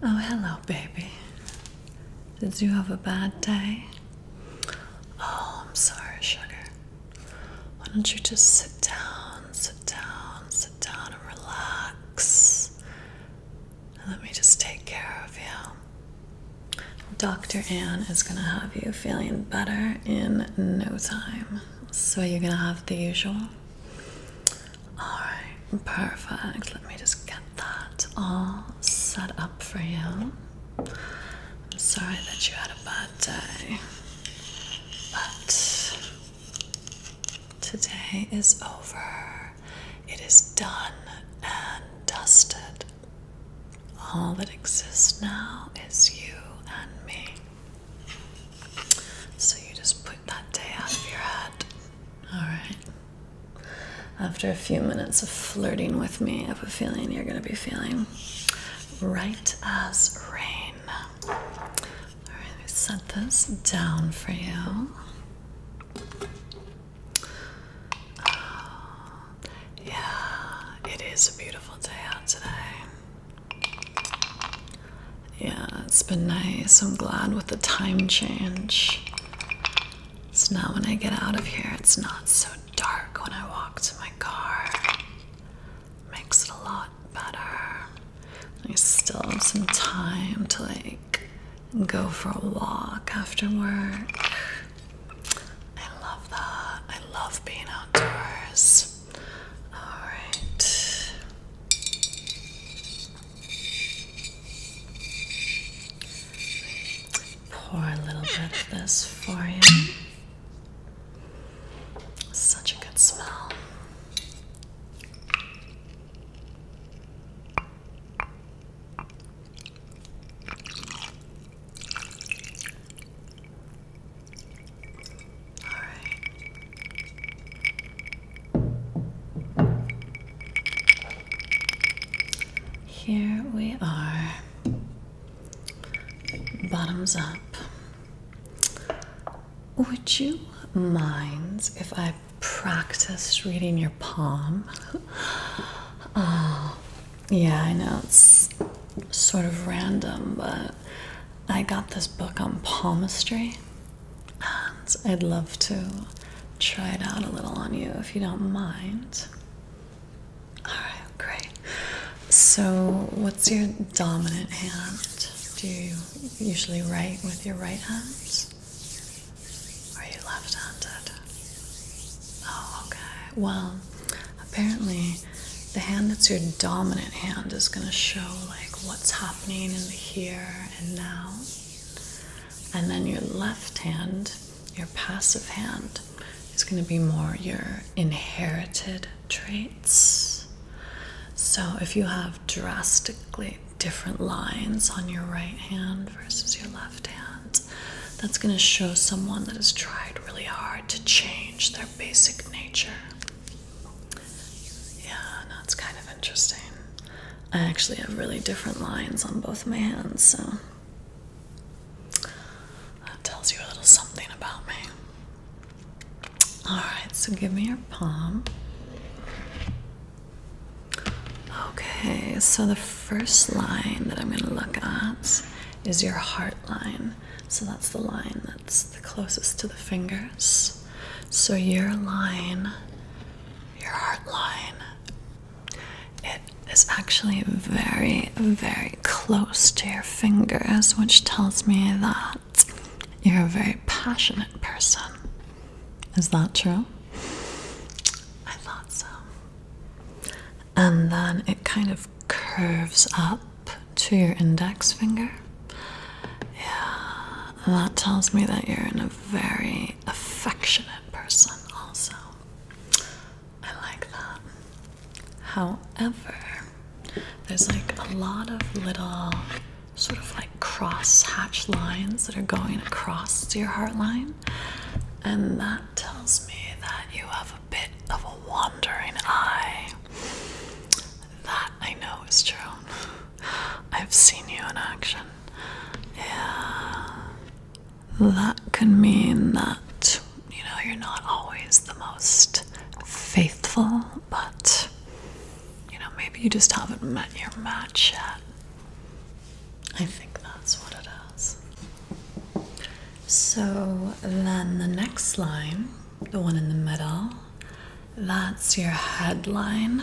Oh, hello, baby. Did you have a bad day? Oh, I'm sorry, sugar. Why don't you just sit down, sit down, sit down, and relax? let me just take care of you. Dr. Anne is going to have you feeling better in no time. So, you're going to have the usual Alright, perfect. Let me just get that all set up for you. I'm sorry that you had a bad day, but today is over. It is done and dusted. All that exists now is you and me. So you just put that day out of your head. Alright. After a few minutes of flirting with me, I have a feeling you're going to be feeling right as rain. Alright, let me set this down for you. Ah, yeah, it is a beautiful day out today. Yeah, it's been nice. I'm glad with the time change. So now when I get out of here, it's not so dark when I walk to my car. Makes it a lot better. I still have some time to like go for a walk after work. I love that. I love being outdoors. All right. Pour a little bit of this for you. Such a good smell. Here we are. Bottoms up. Would you mind if I practiced reading your palm? Uh, yeah, I know it's sort of random, but I got this book on palmistry and I'd love to try it out a little on you if you don't mind. Alright, great. So, what's your dominant hand? Do you usually write with your right hand? Or are you left handed? Oh, okay. Well, apparently, the hand that's your dominant hand is going to show like what's happening and here and now. And then your left hand, your passive hand, is going to be more your inherited traits. So if you have drastically different lines on your right hand versus your left hand, that's going to show someone that has tried really hard to change their basic nature. Yeah, that's kind of interesting. I actually have really different lines on both my hands, so that tells you a little something about me. Alright, so give me your palm. Okay, so the first line that I'm going to look at is your heart line. So that's the line that's the closest to the fingers. So your line, your heart line, it is actually very, very close to your fingers, which tells me that you're a very passionate person. Is that true? I thought so. And then it kind of curves up to your index finger. Yeah, that tells me that you're in a very affectionate person, also. I like that. However, there's like a lot of little sort of like cross hatch lines that are going across your heart line, and that tells me that you have a bit of a wandering eye. That I know is true. I've seen you in action. Yeah. That could mean that, you know, you're not always the most faithful, but, you know, maybe you just haven't met your match yet. I think that's what it is. So then the next line, the one in the middle, that's your headline.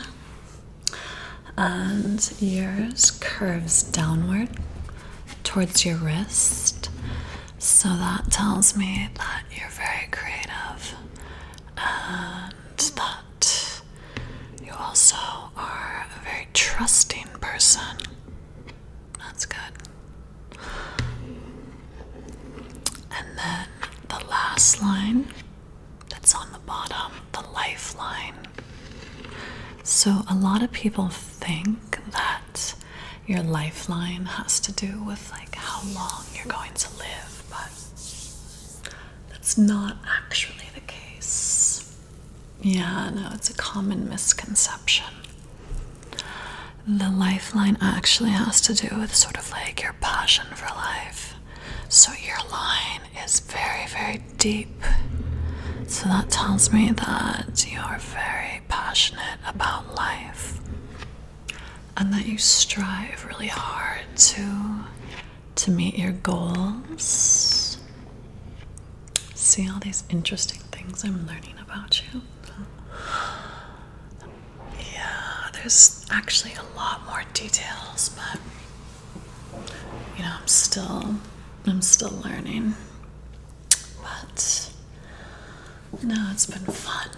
And yours curves downward towards your wrist. So that tells me that you're very creative and that you also are a very trusting person. That's good. And then the last line that's on the bottom, the lifeline. So, a lot of people think that your lifeline has to do with like how long you're going to live, but that's not actually the case. Yeah, no, it's a common misconception. The lifeline actually has to do with sort of like your passion for life. So your line is very, very deep. So that tells me that you are very passionate about life and that you strive really hard to to meet your goals. See all these interesting things I'm learning about you. Yeah, there's actually a lot more details, but you know, I'm still I'm still learning. But no, it's been fun.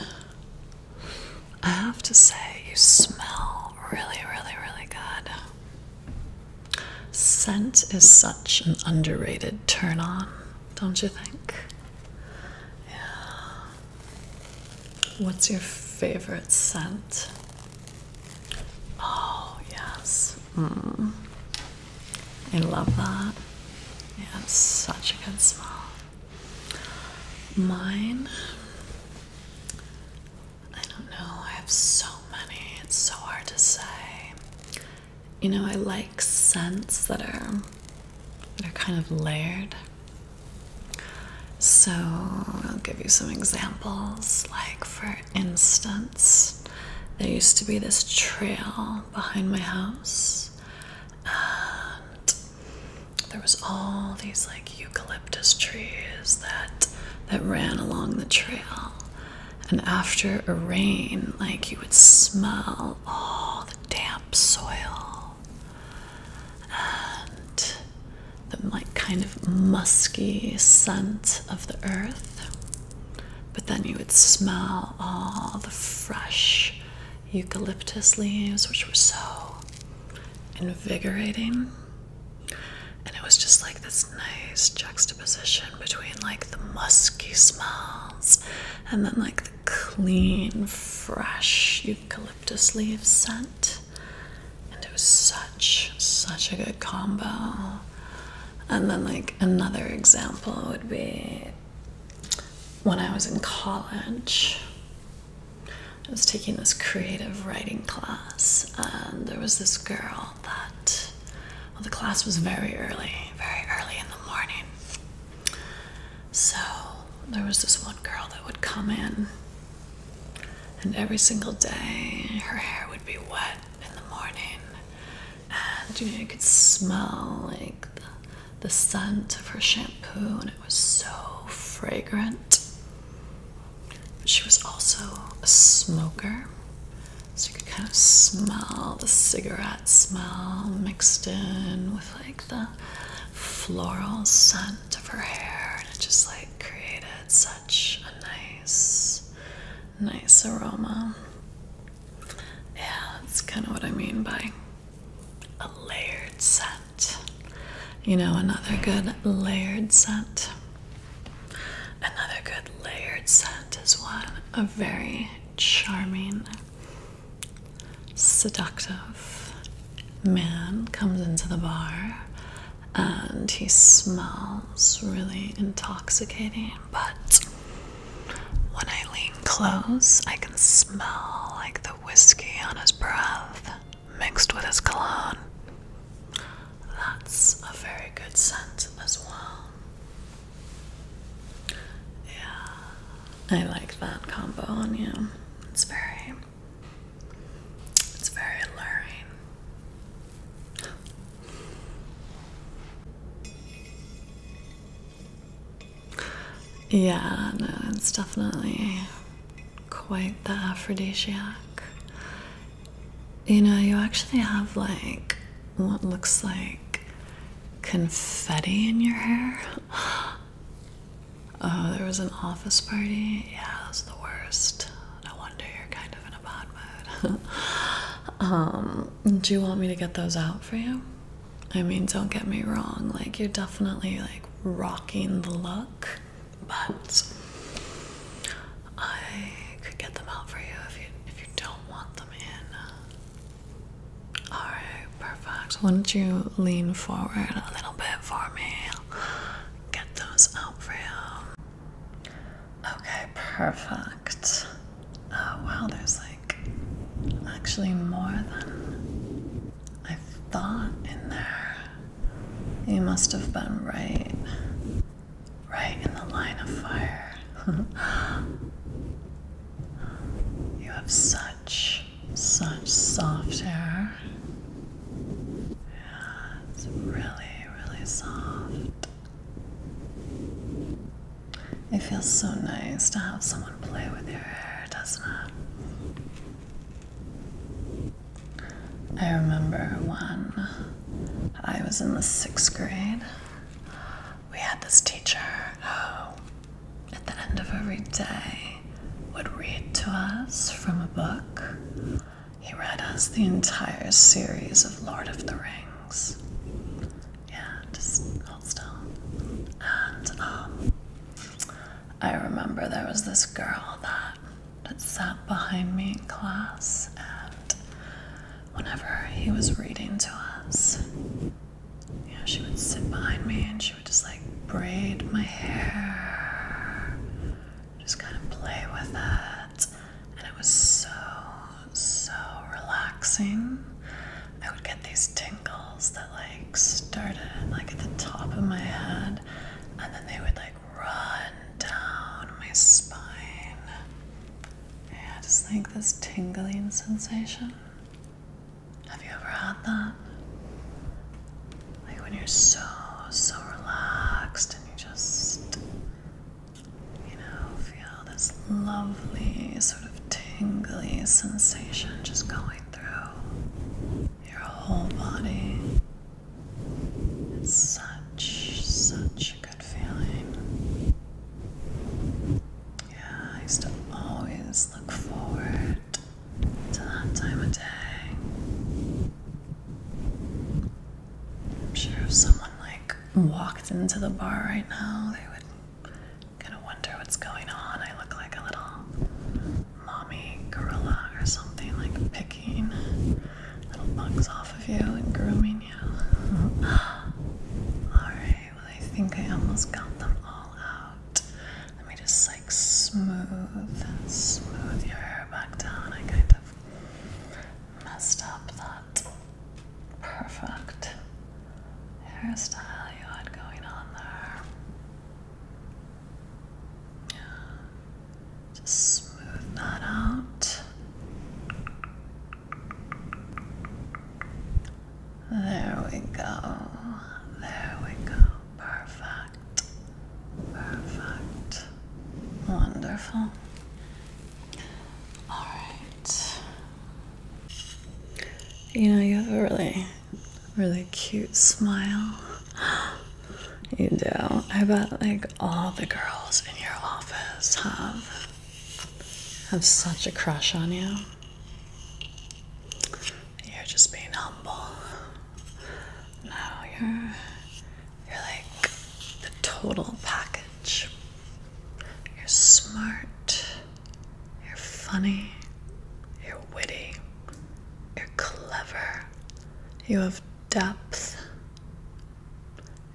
I have to say you smell really, really, really good. Scent is such an underrated turn on, don't you think? Yeah. What's your favorite scent? Oh, yes. Hmm. I love that. Yeah, it's such a good smell. Mine, I don't know. I have so many, it's so hard to say. You know, I like scents that are that are kind of layered. So I'll give you some examples. Like, for instance, there used to be this trail behind my house, and there was all these like eucalyptus trees that that ran along the trail. And after a rain, like you would smell all the damp soil and the like kind of musky scent of the earth. But then you would smell all the fresh eucalyptus leaves, which were so invigorating. And it was just like this nice juxtaposition between like the musky smells and then like the clean, fresh eucalyptus leaves scent. And it was such, such a good combo. And then, like, another example would be when I was in college, I was taking this creative writing class, and there was this girl that, well, the class was very early, very early in the morning. So there was this one girl that would come in and every single day, her hair would be wet in the morning, and you know, you could smell like the, the scent of her shampoo, and it was so fragrant. She was also a smoker, so you could kind of smell the cigarette smell mixed in with like the floral scent of her hair, and it just like created such a nice, nice aroma. Yeah, that's kind of what I mean by a layered scent. You know, another good layered scent. Another good layered scent is one a very charming, seductive, man comes into the bar and he smells really intoxicating, but when I lean close, I can smell like the whiskey on his breath mixed with his cologne. That's a very good scent as well. Yeah, I like that combo on you. It's very it's very alluring. yeah, no, it's definitely quite the aphrodisiac. You know, you actually have like what looks like confetti in your hair. Oh, there was an office party? Yeah, that was the worst. No wonder you're kind of in a bad mood. Um, do you want me to get those out for you? I mean, don't get me wrong, like, you're definitely like rocking the look, but I could get them out for you if you if you don't want them in. Alright, perfect. Why don't you lean forward a little bit for me? get those out for you. Okay, perfect. Oh wow, there's like actually more than I thought in there. You must have been right, right in the line of fire. you have such, such soft hair. Yeah, it's really, really soft. It feels so nice to have someone play with your hair, doesn't it? I remember when I was in the sixth grade, we had this teacher who, at the end of every day, would read to us from a book. He read us the entire series of Lord of the Rings. Yeah, just hold still. And um, I remember there was this girl that sat behind me in class, and whenever he was reading to us, you she would sit behind me and she would just like braid my hair just kind of play with it. And it was so, so relaxing. I would get these tingles that like started like at the top of my head and then they would like run down my spine. Yeah, I just like this tingling sensation. Have you ever had that? Like when you're so, so relaxed and you just, you know, feel this lovely sort of tingly sensation just going through your whole body. It's such, such a good feeling. Yeah, I used to always look forward to that time of day. I'm sure if someone like walked into the bar right now, they would kind of wonder what's going on. I look like a little mommy gorilla or something, like picking little bugs off of you and grooming you. Alright, well, I think I almost got them all out. Let me just like smooth, smooth your back down. I kind of messed up that perfect hairstyle you had going on there. Yeah. Just smooth that out. There we go. There we go. Perfect. Perfect. Wonderful. All right. You know, you have a really, really cute smile. You do. I bet like all the girls in your office have have such a crush on you. You're just being humble. Now you're you're like the total package. You're smart, you're funny, you're witty, you're clever, you have depth,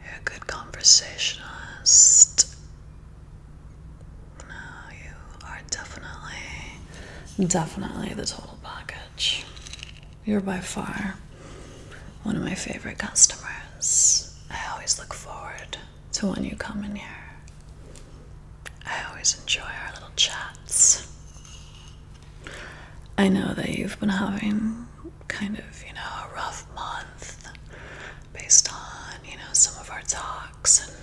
you're a good conversationalist. No, you are definitely, definitely the total package. You're by far one of my favorite customers. I always look forward to when you come in here. I always enjoy our little chats. I know that you've been having kind of, you know, a rough month based on, you know, some of our talks, and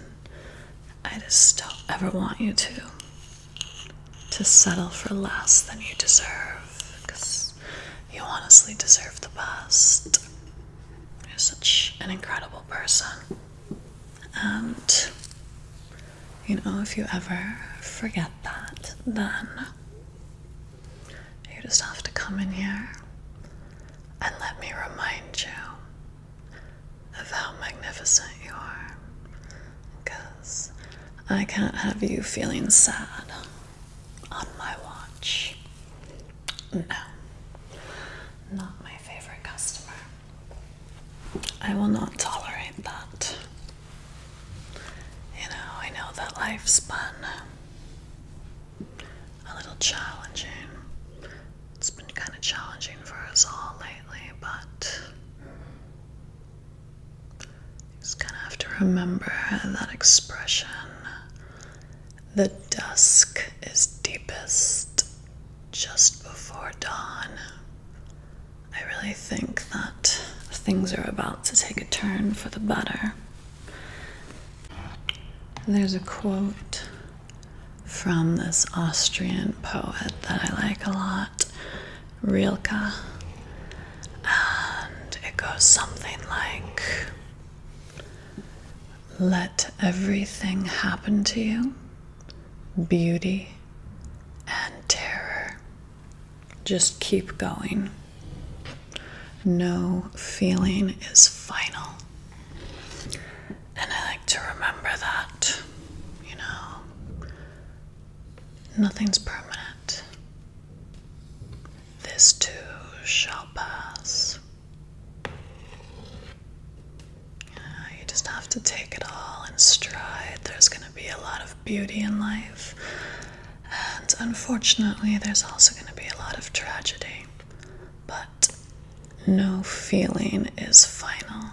I just don't ever want you to to settle for less than you deserve because you honestly deserve the best. You're such an incredible person. And you know, if you ever forget that, then you just have to come in here and let me remind you of how magnificent you are because I can't have you feeling sad on my watch. No, not my favorite customer. I will not tolerate that. You know, I know that life's been a little challenging. It's been kind of challenging for us all lately, but just gonna have to remember that expression. The dusk is deepest just before dawn. I really think that things are about to take a turn for the better. There's a quote from this Austrian poet that I like a lot. Rilke, and it goes something like Let everything happen to you, beauty and terror. Just keep going. No feeling is final. And I like to remember that, you know, Nothing's permanent. This too shall pass. Ah, you just have to take it all in stride. There's going to be a lot of beauty in life, and unfortunately, there's also going to be a lot of tragedy. But no feeling is final.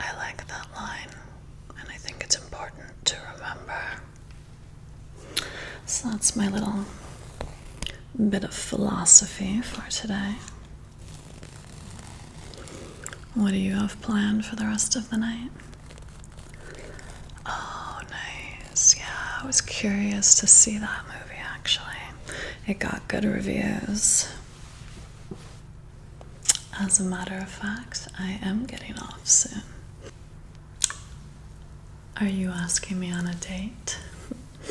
I like that line, and I think it's important to remember. So that's my little bit of philosophy for today. What do you have planned for the rest of the night? Oh, nice. Yeah, I was curious to see that movie actually. It got good reviews. As a matter of fact, I am getting off soon. Are you asking me on a date?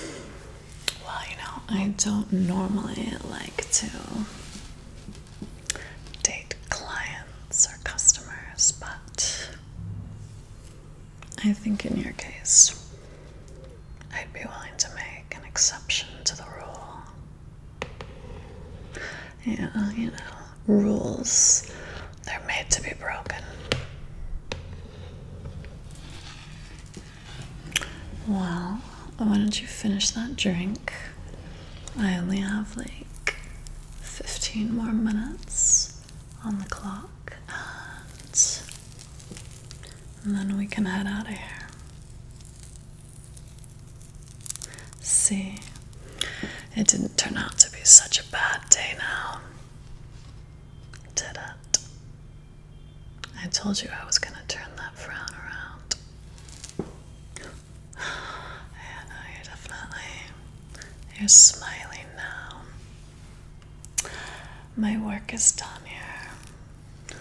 well, you know, I don't normally like to date clients or customers, but I think in your case, I'd be willing to make an exception to the rule yeah, you know, rules, they're made to be broken. Well, why don't you finish that drink? I only have like 15 more minutes on the clock, and, then we can head out here. See, it didn't turn out to be such a bad day now. Did it? I told you I was going to turn that frown around. no, you definitely. You're smiling now. My work is done here.